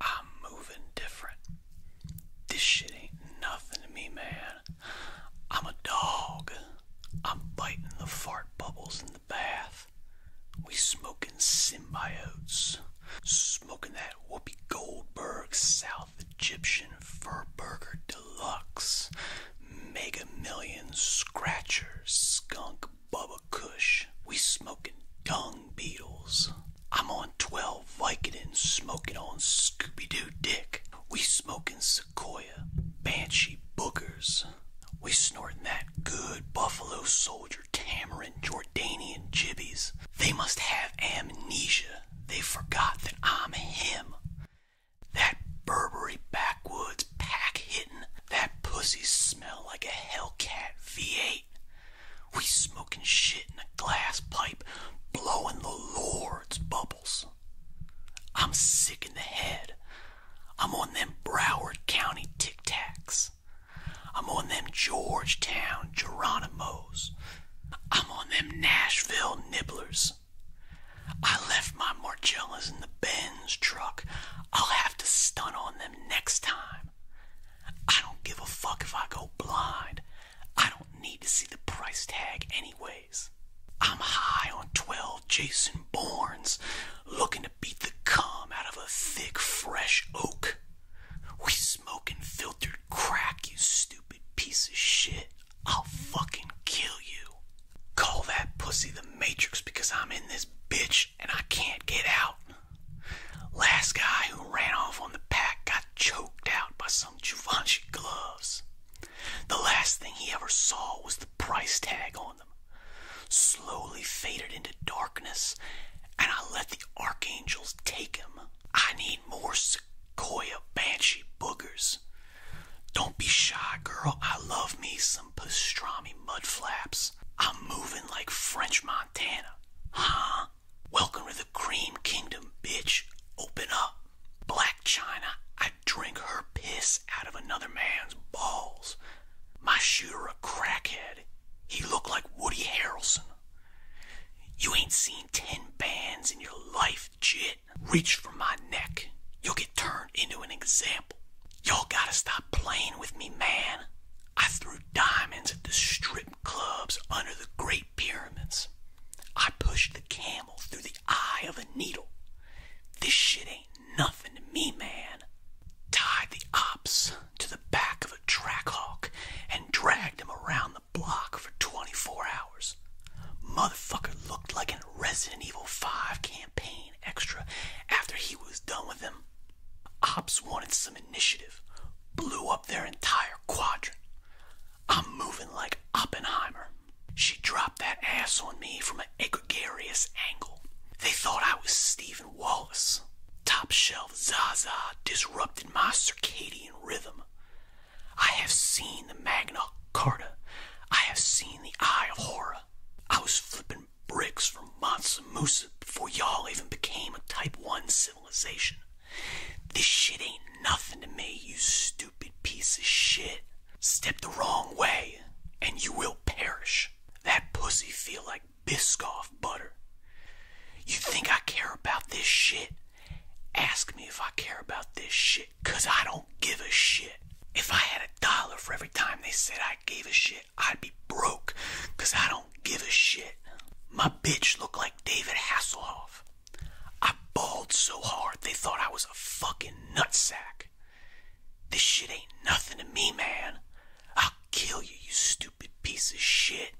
I'm moving different. This shit ain't nothing to me, man. I'm a dog. I'm biting the fart bubbles in the bath. We smoking symbiotes. Smoking that Whoopi Goldberg South Egyptian Fur Burger Deluxe. Mega Million Scratcher Skunk Bubba Kush. We smoking dung beetles. I'm on 12 Vicodin smoking on Scooby-Doo dick. We smoking Sequoia, Banshee boogers. We snorting that good Buffalo Soldier tamarind Jordanian jibbies. They must have amnesia. They forgot that I'm him. That Burberry backwoods pack hittin'. That pussy smell like a Hellcat V8. We smoking shit in a glass pipe, blowing the Lord's bubbles. I'm sick in the head. I'm on them Broward County Tic Tacs. I'm on them Georgetown Geronimos. I'm on them Nashville Nibblers. I left my Marcellas in the Benz truck. I'll have to stunt on them next time. I don't give a fuck if I go blind. I don't need to see the price tag, anyways. I'm high on 12 Jason Bournes, looking to beat the cum out of a thick, fresh oak. We smoking filtered crack, you stupid piece of shit. I'll fucking kill you. Call that pussy the Matrix because I'm in this bitch and I can't get out. Last guy who ran off on the pack got choked out by some Givenchy gloves. The last thing he ever saw was the price tag on them. Slowly faded into darkness, and I let the archangels take him. I need more Sequoia Banshee boogers. Don't be shy, girl. I love me some pastrami mudflaps. I'm moving like French Montana. Huh? Welcome to the Cream Kingdom, bitch. Open up. Black China, I drink her piss out of another man's balls. My shooter a crackhead. He looked like Woody Harrelson. You ain't seen ten bands in your life, jit head. Reach for my neck. You'll get turned into an example. Y'all gotta stop playing with me, man. I threw diamonds at the strip clubs under the Great Pyramids. I pushed the camel through the eye of a needle. This shit ain't nothing to me, man. Tied the ops to the back of a track hawk and dragged him around the block for 24 hours. Motherfucker looked like an Resident Evil 5 campaign extra after he was done with them. Ops wanted some initiative, blew up their entire quadrant. I'm moving like Oppenheimer. She dropped that ass on me from an egregious angle. They thought I was Stephen Wallace. Top shelf Zaza disrupted my circadian rhythm. I have seen the Magna Carta. I have seen the Eye of Horror. I was flipping bricks from Mansa Musa before y'all even became a Type 1 civilization. This shit ain't nothing to me, you stupid piece of shit. Step the wrong way, and you will perish. That pussy feel like Biscoff butter. You think I care about this shit? Ask me if I care about this shit, 'cause I don't give a shit. If I had a dollar for every time they said I gave a shit, I'd be brokebecause I don't give a shit. My bitch looked like David Hasselhoff. I bawled so hard they thought I was a fucking nutsack. This shit ain't nothing to me, man. I'll kill you, you stupid piece of shit.